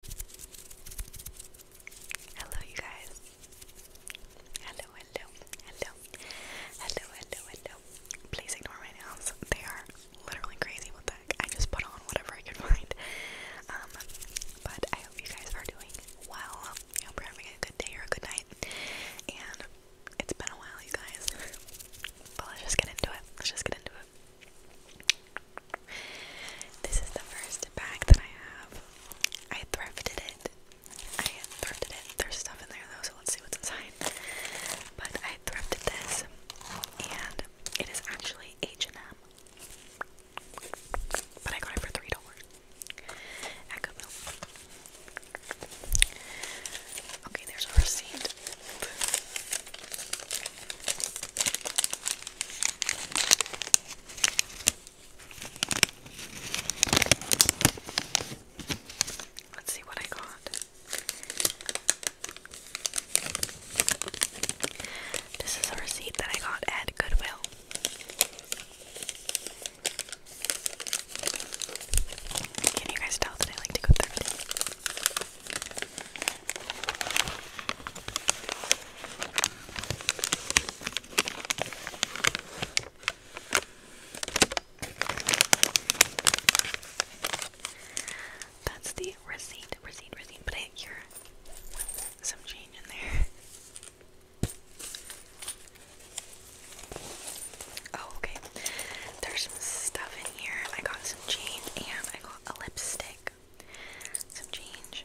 Hello, you guys. Hello, hello, hello, hello, hello, hello. Please ignore my nails. They are literally crazy. What the heck? I just put on whatever I could find. Um, but I hope you guys are doing well. I hope you're having a good day or a good night. And it's been a while, you guys. But let's just get into it. Let's just get into it. This is the first bag that I have. I thrifted it. I thrifted it. There's stuff in there though, so let's see what's inside. But I thrifted this, and it is actually H&M. But I got it for three dollars Okay, there's a receipt. Let's see what I got. This is a receipt that I got at Goodwill. Can you guys tell that I like to go through that's the receipt, receipt, receipt, but I here some change in there. Oh, okay. There's some stuff in here. I got some change and I got a lipstick some change.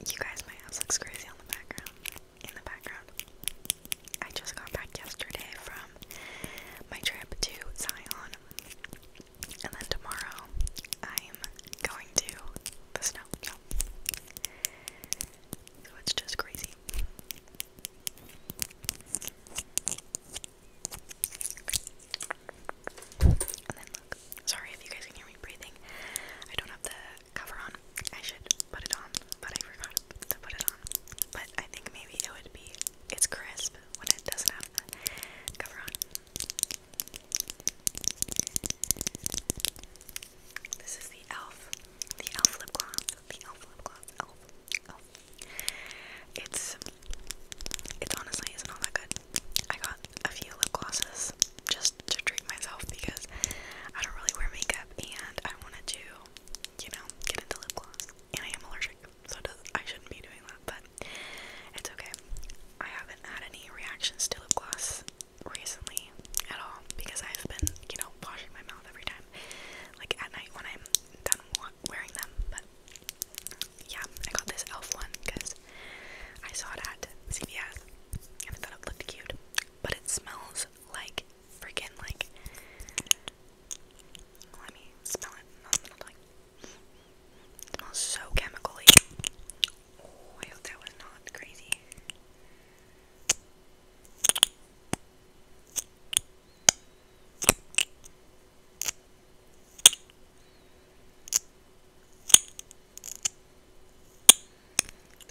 You guys, my house looks crazy on the background. In the background, I just got back yesterday from my trip to Zion. And then tomorrow I'm going to the snow. So it's just crazy. Sorry if you guys can hear me breathing. I don't have the cover on. I should put it on, but I forgot to put it on. But I think maybe it would be it's crisp, when it doesn't have the cover on. This is the e.l.f. The e.l.f. lip gloss. The e.l.f. lip gloss. Elf. Elf. It's it's honestly isn't all that good. I got a few lip glosses just to treat myself because I don't really wear makeup and I wanted to, you know, get into lip gloss. And I am allergic so I shouldn't be doing that, but it's okay. I haven't had any reactions to lip gloss recently at all because I've been, you know, washing my mouth every time, like at night when I'm done wearing them. But yeah, I got this elf one because I saw it at CVS and I thought it looked cute, but it smells like freaking like let me smell it. No, like, smells so chemically. Oh, I hope that was not crazy.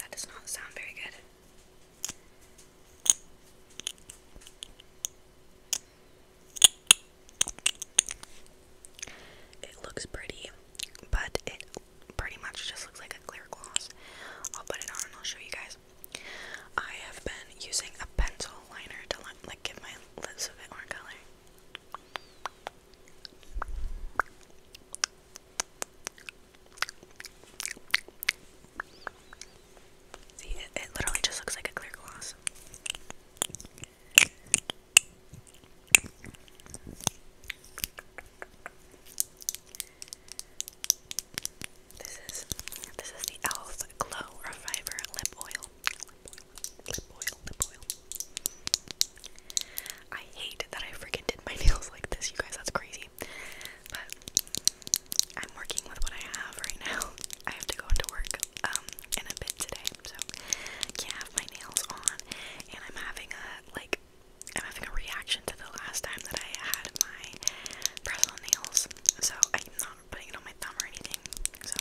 That does not sound very good. It looks pretty, but it pretty much just looks like a clear gloss. I'll put it on and I'll show you guys. I have been using a pencil liner to like give my lips a bit more color. See, it, literally just looks like a clear gloss. This is this is the Elf Glow Reviver Lip Oil. Lip oil, lip oil, lip oil. I hate that I freaking did my nails like this, you guys. That's crazy. I'm working with what I have right now. I have to go into work um in a bit today, so can't have my nails on and I'm having a like I'm having a reaction to the last time that I had my press on nails. So I'm not putting it on my thumb or anything. So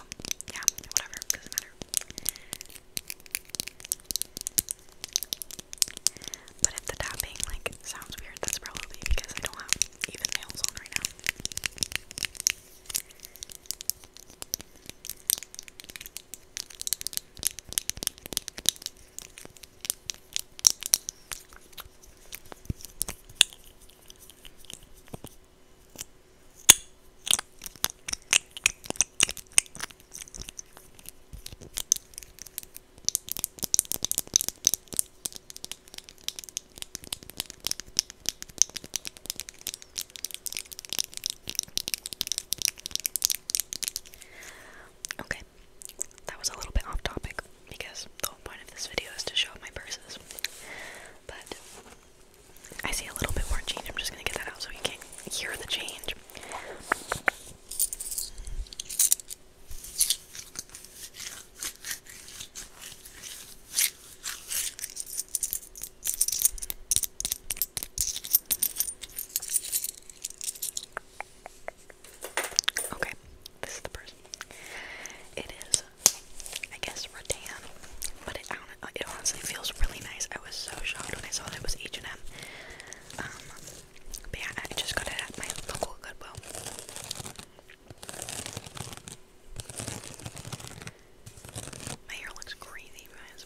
yeah, whatever, doesn't matter. But if the tapping like sounds weird, that's probably because I don't have even nails on right now. Okay, that was a little bit off topic because the whole point of this video is to show my purses. But I see a little bit more change. I'm just gonna get that out so you can hear the change. Okay, this is the person. It is, I guess, rattan, but it, it honestly feels really nice. I was so shocked when I saw that it was H and M. Um, but yeah, I just got it at my local Goodwill. My hair looks crazy, guys.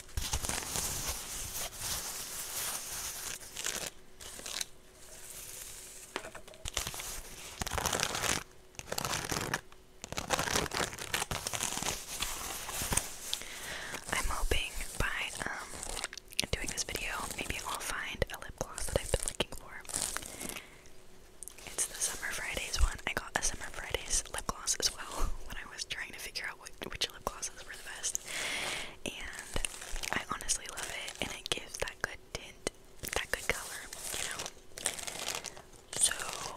I'm hoping by um doing this video, maybe I'll find a lip gloss that I've been looking for. It's the Summer Fridays one. I got a Summer Fridays lip gloss as well when I was trying to figure out what which lip glosses were the best. And I honestly love it, and it gives that good tint, that good color, you know. So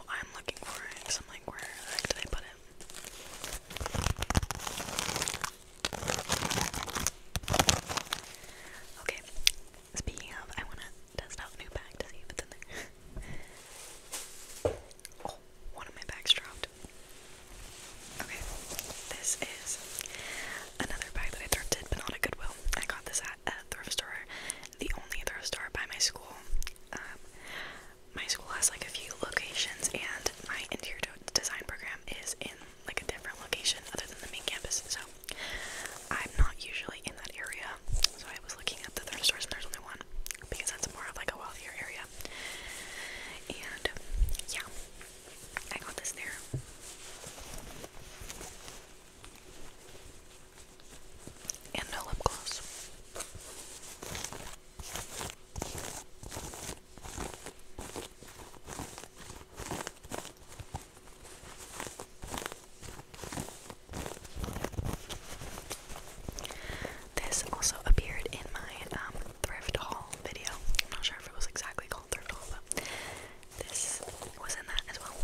I'm looking for it I'm like, where did I put it? Okay, speaking of, I want to test out new bag to see if it's in there. oh, one of my bags dropped. Okay, this is another bag that I thrifted, but not at Goodwill. I got this at a thrift store, the only thrift store by my school. Um, my school has like a few locations, and my interior design program is in like a different location other than the main campus. So I'm not usually in that area. So I was looking at the thrift stores, and there's only one because that's more of like a wealthier area. And yeah, I got this there. And no lip gloss. This also appeared in my um, thrift haul video. I'm not sure if it was exactly called thrift haul, but this was in that as well.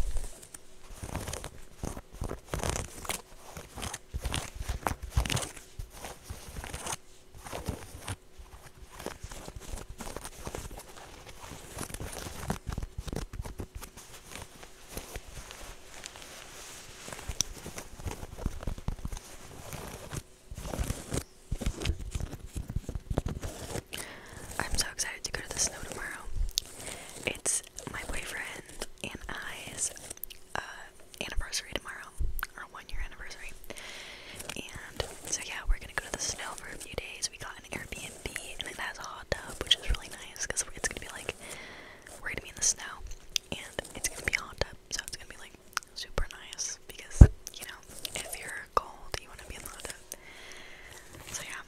I'm so excited to go to the snow tomorrow. It's my boyfriend and I's uh, anniversary tomorrow, our one year anniversary. And so, yeah, we're gonna go to the snow for a few days. We got an Airbnb and it has a hot tub, which is really nice because it's gonna be like we're gonna be in the snow and it's gonna be hot up, so it's gonna be like super nice because you know if you're cold you want to be in the hot tub. So yeah,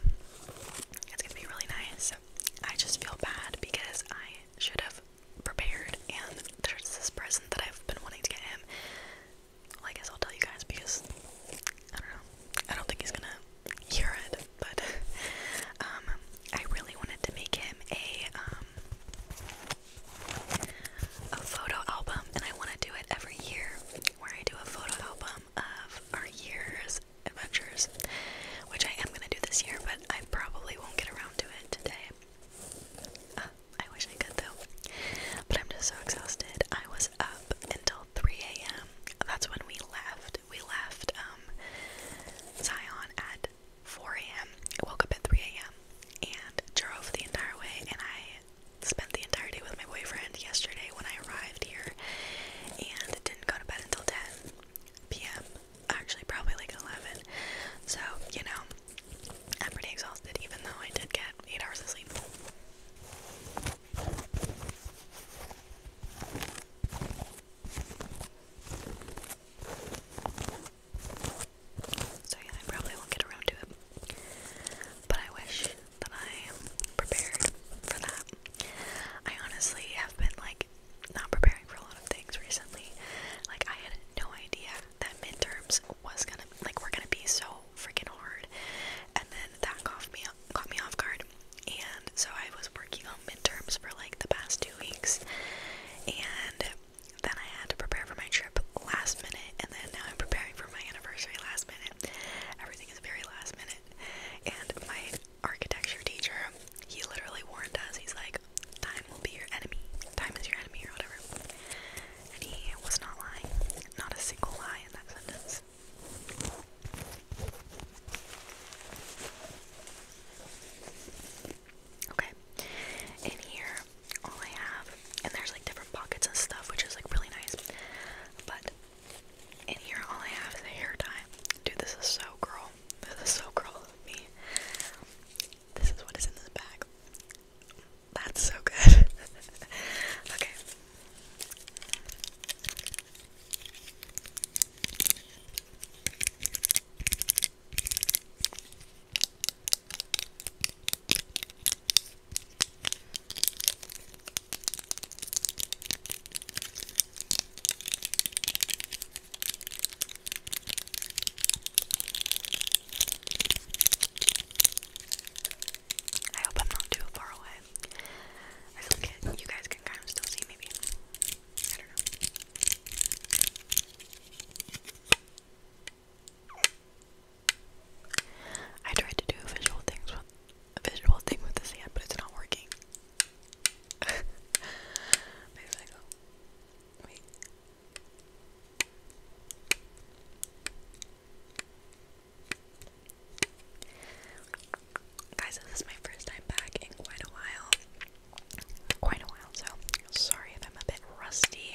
it's gonna be really nice. So I just feel bad because I should have prepared, and there's this present that I've been wanting to get him. I guess I'll tell you guys because I don't know. I don't think he's gonna hear it but um, I really wanted to make him a um, a photo album, and I want to do it every year, where I do a photo album of our year's adventures, which I am gonna do this year, but I probably won't get around to it today. Ah, I wish I could though, but I'm just so exhausted. I was up until 3 a.m. That's when we left we left um, Zion at 4 a.m. I woke up at 3 a.m. and drove the entire way. And I spent the entire day with my boyfriend yesterday when I arrived here, and didn't go to bed until 10 p.m. Actually, probably like 11. So you know, I'm pretty exhausted, even though I did get eight hours of sleep. So yeah, I probably won't get around to it. But I wish that I prepared for that. I honestly have been like not preparing for a lot of things recently. Like I had no idea that midterms was gonna like we're gonna be so freaking hard. And then that caught me caught me off guard. And so I was working on midterms for like the past two weeks, and then I had to prepare for my trip last minute, and then now I'm preparing for my anniversary last minute. Everything is very last minute, and my architecture teacher, he literally warned us. He's like, "Time will be your enemy. Time is your enemy, or whatever." And he was not lying. Not a single lie in that sentence. Okay. In here, all I have, and there's like different pockets and stuff, which is like really nice. But in here, all I have is a hair tie. Dude, this is so girl. This is so girl of me. This is what is in this bag. That's so good. okay. I hope I'm not too far away. I feel like you guys can kind of still see maybe. I tried to do a visual things with a visual thing with the sand, but it's not working. Maybe I go. Wait. Guys, this is my first time back in quite a while. Quite a while, so sorry if I'm a bit rusty.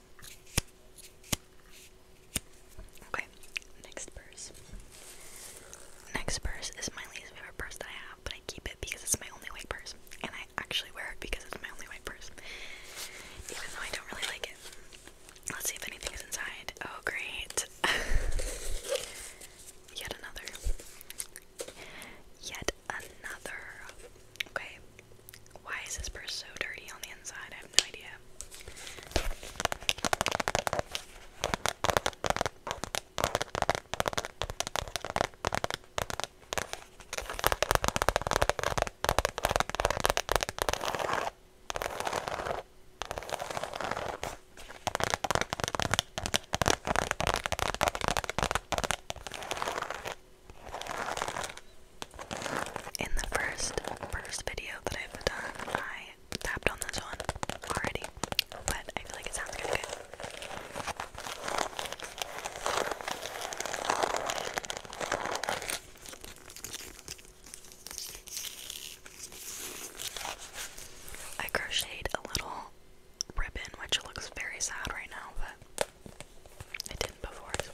Okay, next purse. Next purse is my least favorite purse that I have, but I keep it because it's my only white purse. And I actually wear it because it's my only white purse. Even though I don't really like it. Let's see if anything inside. Oh, great. Yet another. Yet another. Okay, why is this purse so dirty on the inside? I have no idea. In the first first video that I've done, I tapped on this one already, but I feel like it sounds good. I crocheted a little ribbon, which looks very sad right now, but it didn't before, I swear.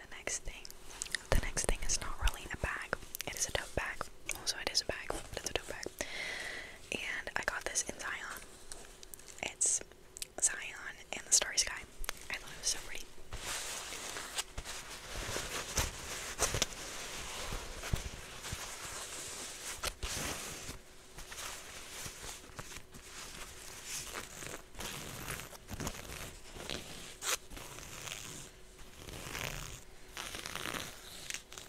The next thing, the next thing is not really a bag. It is a tote bag. Also, it is a bag, it's a tote bag. And I got this in Zion. It's Zion and the Starry Sky. I thought it was so pretty.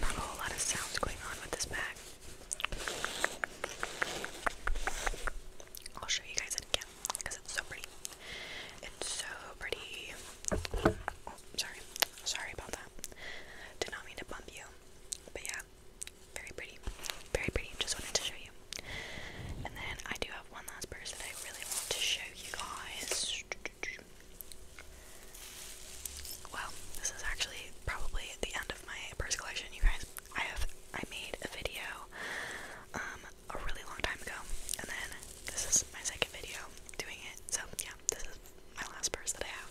Not a whole lot of sounds going on with this bag. I'll show you guys it again because it's so pretty. It's so pretty. Oh, sorry. Sorry about that. Did not mean to bump you. But yeah, very pretty. Very pretty. Just wanted to show you. And then I do have one last purse that I really want to show you guys. Well, this is actually probably the end of my purse collection, you guys. I have I made a video um a really long time ago, and then this is my second video doing it. So yeah, this is my last purse that I have.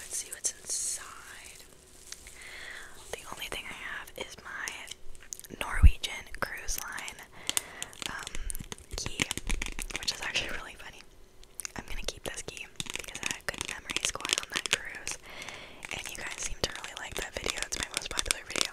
Let's see what's inside. The only thing I have is my Norwegian cruise line um, key, which is actually really funny. I'm gonna keep this key because I had good memories going on that cruise, and you guys seem to really like that video. It's my most popular video.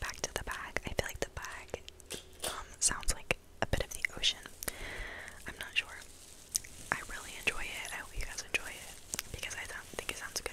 back to the bag. I feel like the bag um, sounds like a bit of the ocean. I'm not sure. I really enjoy it. I hope you guys enjoy it because I think it sounds good.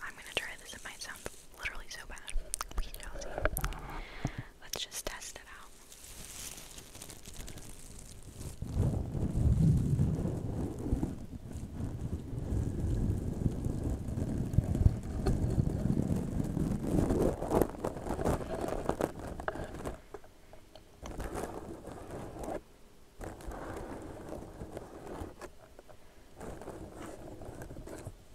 I'm going to try this, it literally so bad. Let's just test it out.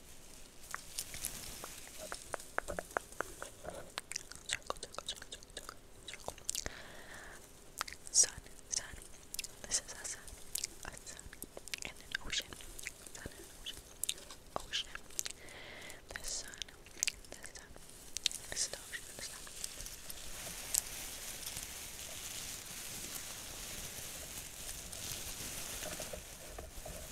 circle, circle, circle, circle, sun, sun, this is a sun, a sun, and an ocean, sun and an ocean, ocean, the sun, the sun, this is the ocean, the sun. This is the ocean, the sun.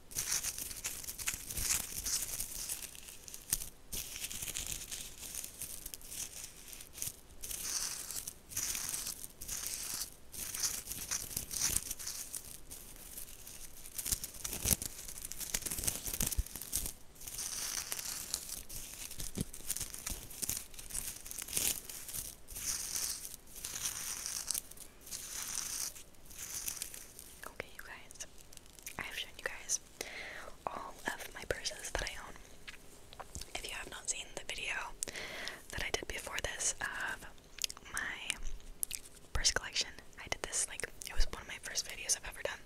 Okay, you guys, I've shown you guys all of my purses that I own. If you have not seen the video that I did before this of my purse collection, I did this like it was one of my first videos I've ever done.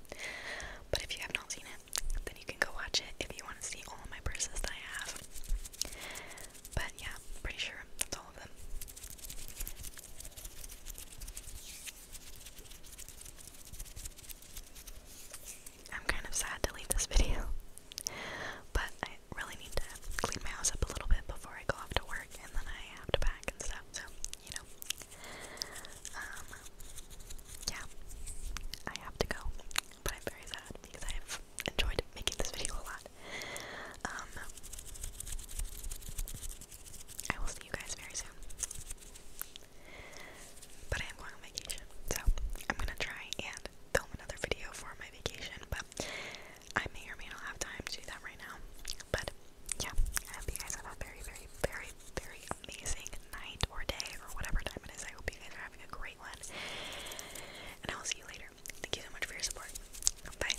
But if you have not seen it, then you can go watch it if you want to see all of my purses that I have. But yeah, pretty sure that's all of them. I'm kind of sad to leave this video, but I really need to clean my house up a little bit before I go off to work and then I have to pack and stuff, so, you know. Um, yeah, I have to go, but I'm very sad because I have enjoyed making this video a lot. Um, I will see you guys very soon. But I am going on vacation, so I'm gonna try and film another video for my vacation, but I may or may not have time to do that right now. But yeah, I hope you guys have a very, very, very, very amazing night or day or whatever time it is. I hope you guys are having a great one. And I will see you later. Thank you so much for your support. Bye.